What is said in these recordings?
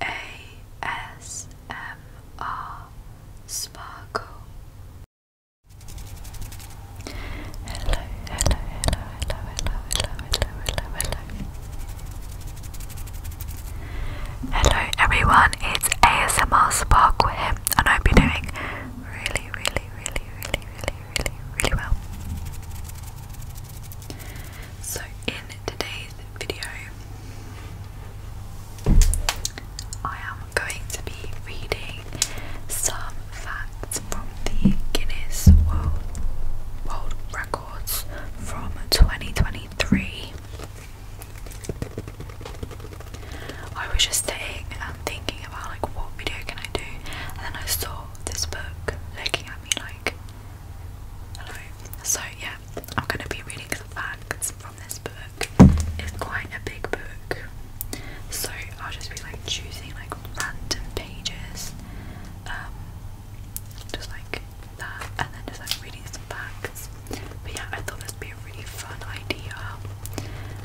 ASMR Sparkle. Hello, hello, hello, hello, hello, hello, hello, hello, hello. Hello everyone, it's ASMR Sparkle here, and I hope you're doing really, really, really, really, really, really, really well. So, in today's video, I am going to be reading some facts from the Guinness World, World Records from 2023. I was just sitting and thinking about like what video can I do, and then I saw this book looking at me like, hello. So, yeah, I'm going to be reading the facts from this book. It's quite a big book, so I'll just be like choosing like random pages, um, just like that, and then just like reading some facts. But yeah, I thought this would be a really fun idea,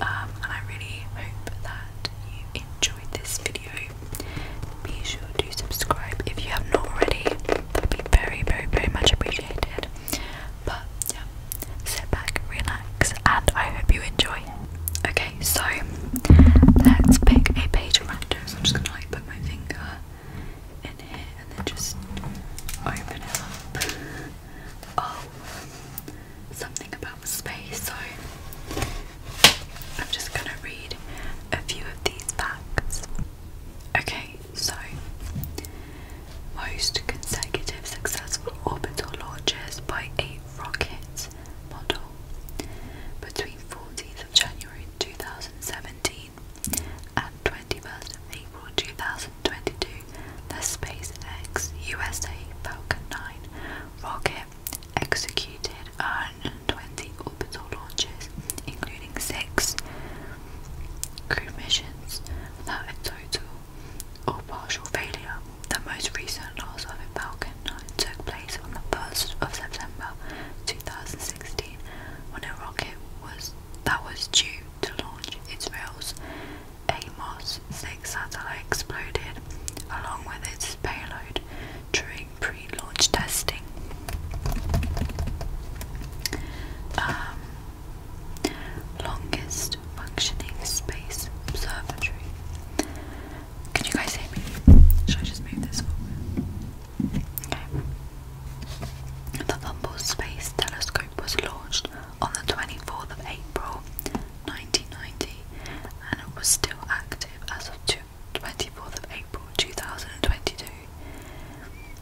um, and I really hope that you enjoyed this video. Be sure to subscribe if you have not already. That'd be very, very, very much appreciated. But yeah, sit back, relax, and I hope you enjoy. Okay, so let's pick a page random. So I'm just gonna like put my finger in here and then just open it up. Oh, something about space. So I'm just gonna read a few of these facts. Okay, so most consecutive successful orbital launches by a rocket model between 14th of January 2017 and 21st of April 2022, the SpaceX USA Falcon 9 rocket executed an 120 orbital launches, including six crew missions without a total or partial failure. The most recent loss of a Falcon 9 took place on the 1st of September 2016 when a rocket was that was due to launch its AMOS 6 satellite exploded along with its payload, triggering pre-launch testing. Um, longest functioning space observatory. Can you guys hear me? Should I just move this Okay. The Hubble Space Telescope was launched on the 24th of April 1990 and it was still active as of two 24th of April 2022,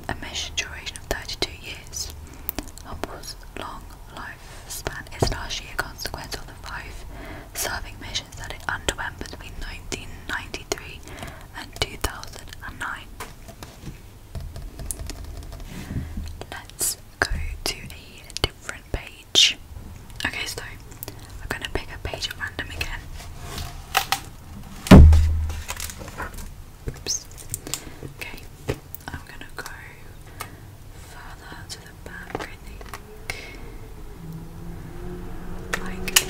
a measured duration of 32 years. Hubble's long lifespan is largely a consequence of the five serving missions that it underwent between 1993 and 2009. Let's go to a different page. Okay, so I'm going to pick a page at random again. Oops. Okay, I'm gonna go further to the back, Like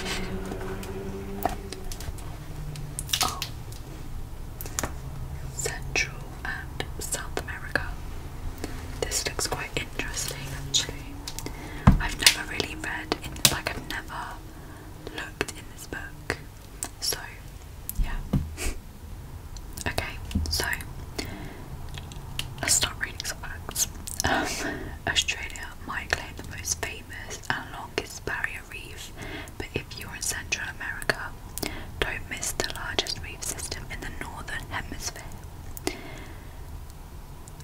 oh. Central and South America. This looks quite interesting actually. I've never really read like I've never looked in this book. So yeah. okay, so let's start reading some facts. Um, Australia might claim the most famous and longest barrier reef, but if you're in Central America, don't miss the largest reef system in the northern hemisphere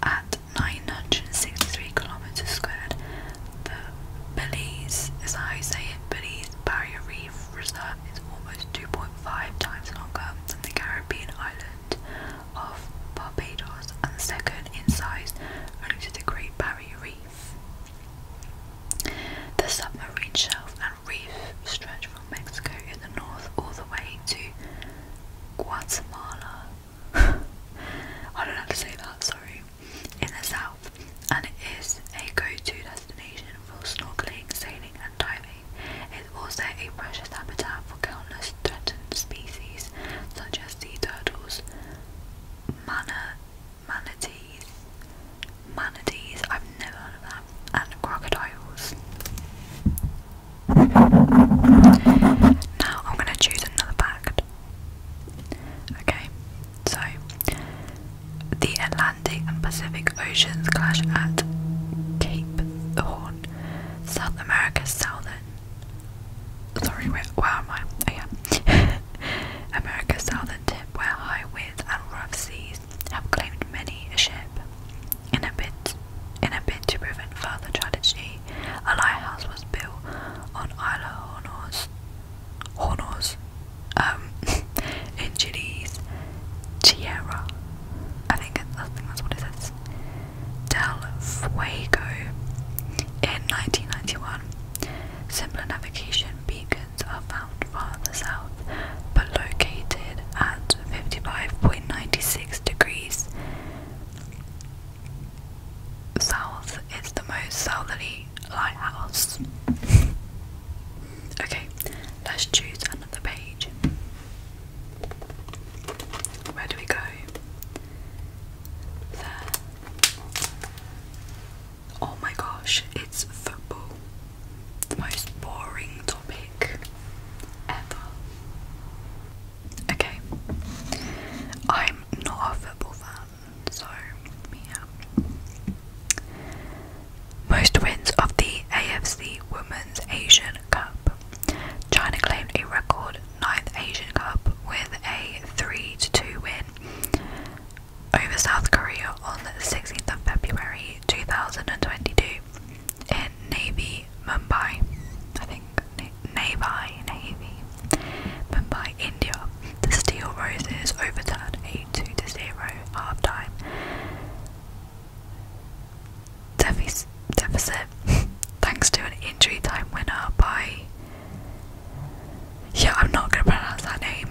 at 963 kilometers squared. The Belize, as I say it, Belize Barrier Reef Reserve is almost 2.5 times longer than the Caribbean island of Barbados and second in size only to the Great Barrier Reef. The submarine shelf and reef stretch from Mexico in the north all the way to Guatemala I don't know to say that, sorry. In the south, and it is a go-to destination for snorkeling, sailing, and diving. It's also a precious habitat for countless threatened species such as sea turtles, manatees, manatees. I've never heard of that, and crocodiles. Now I'm going to choose another pack. Okay, so the Atlantic and Pacific Oceans clash at Cape Horn, South America's southern. Sorry, where, am I? Oh, yeah. America's southern tip, where high winds and rough seas have claimed many a ship. In a bit, in a bit to prevent further tragedy, a lighthouse was built on Isla Hornos, Hornos um, in Chile's Tierra. I think that's what it says. Del Fuego in 1991. Similar navigation beacons are found farther south, but located at 55.96 degrees south is the most southerly lighthouse. okay, let's choose another page. Where do we go? There. Oh my gosh, it's football. The most boring topic ever. Okay. I'm not a football fan, so yeah. Most wins of the AFC Women's Asian Cup. China claimed a record ninth Asian Cup with a 3 2 win over South Korea on the 16th of February 2022 in Navy Mumbai, I think Navi, Navy, Mumbai, India. The steel roses overturned 8-2 to 0 half time. Defic deficit thanks to an injury time winner by yeah, I'm not gonna pronounce that name.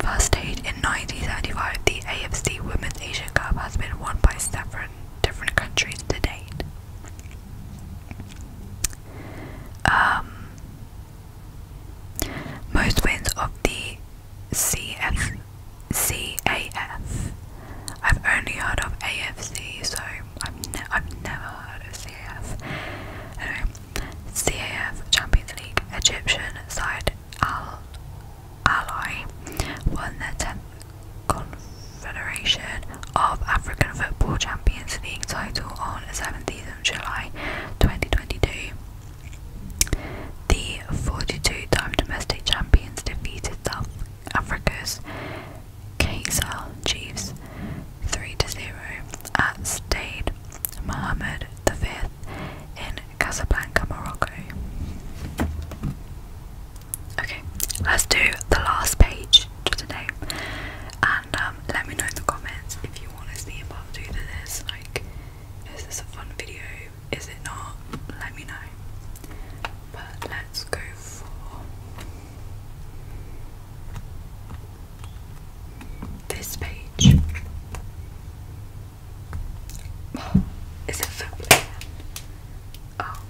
First stage in 1975, the AFC Women's Asian Cup has been won by seven different countries to date. Um, most wins of the C F C have only heard of AFC, so I've, I've never heard of CAF. Anyway, CAF Champions League Egyptian side Al Ally won their 10th Confederation of African Football Champions League title on 17th of July 2022. The 42 time domestic champions defeated South Africa's Kaiser Chiefs 3 0 at Stade Mohammed V in Casablanca, Morocco. Okay, let's do the last page today, and um, let me know in the comments if you want to see a part two to this. Like, is this a fun video? Is it not? Let me know. But let's go for this page. is it footwear? Oh,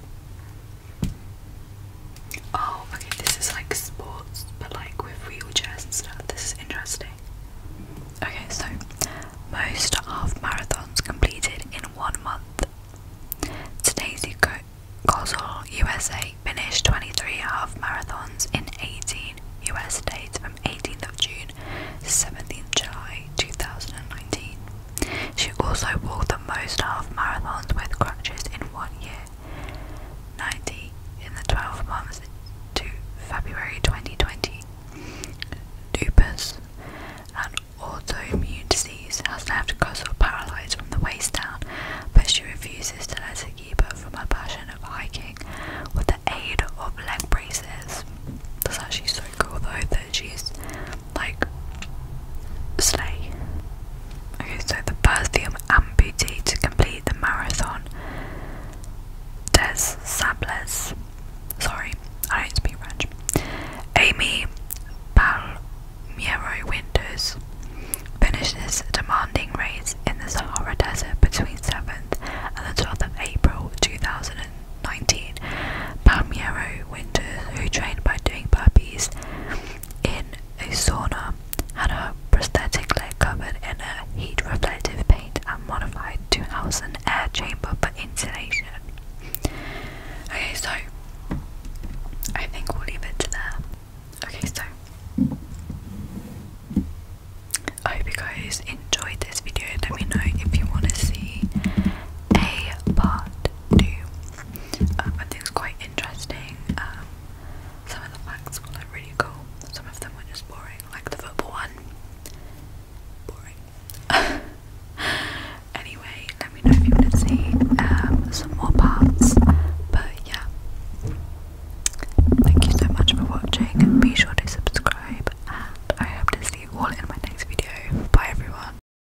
Oh, okay, this is like sports, but like with wheelchairs and stuff. This is interesting. Okay, so most half marathons completed in one month. Today's Gosel USA finished 23 half marathons in 18 US states from 18th of June to 17th July 2019. She also walked the most half marathons with crutches in one year, 90 in the 12 months to February 2020. Dupas, an autoimmune disease, has left Kossel paralysed from the waist down, but she refuses to let it keep her from her passion of hiking with the aid of leg braces. That's actually so cool though that she's like sleigh. Okay, so the Perthium amputee to complete the marathon. Des Sables. Sorry, I don't speak French. Amy Palmiero finished this demanding race in the Sahara Desert between 7th and the 12th of April 2019. Palmiero Winters, who trained by doing burpees in a sauna, had a prosthetic leg covered in a heat reflective paint and modified to house an air chamber for insulation. Okay, so I think we'll leave it to there. Okay, so I hope you guys enjoyed this video. Let me know if you want to see a part do. Um, I think it's quite interesting. Um, some of the facts were really cool. Some of them were just boring, like the football one. Boring. anyway, let me know if you want to see um, some more parts. But yeah, thank you so much for watching. Be sure to subscribe, and I hope to see you all in my next video. Bye, everyone.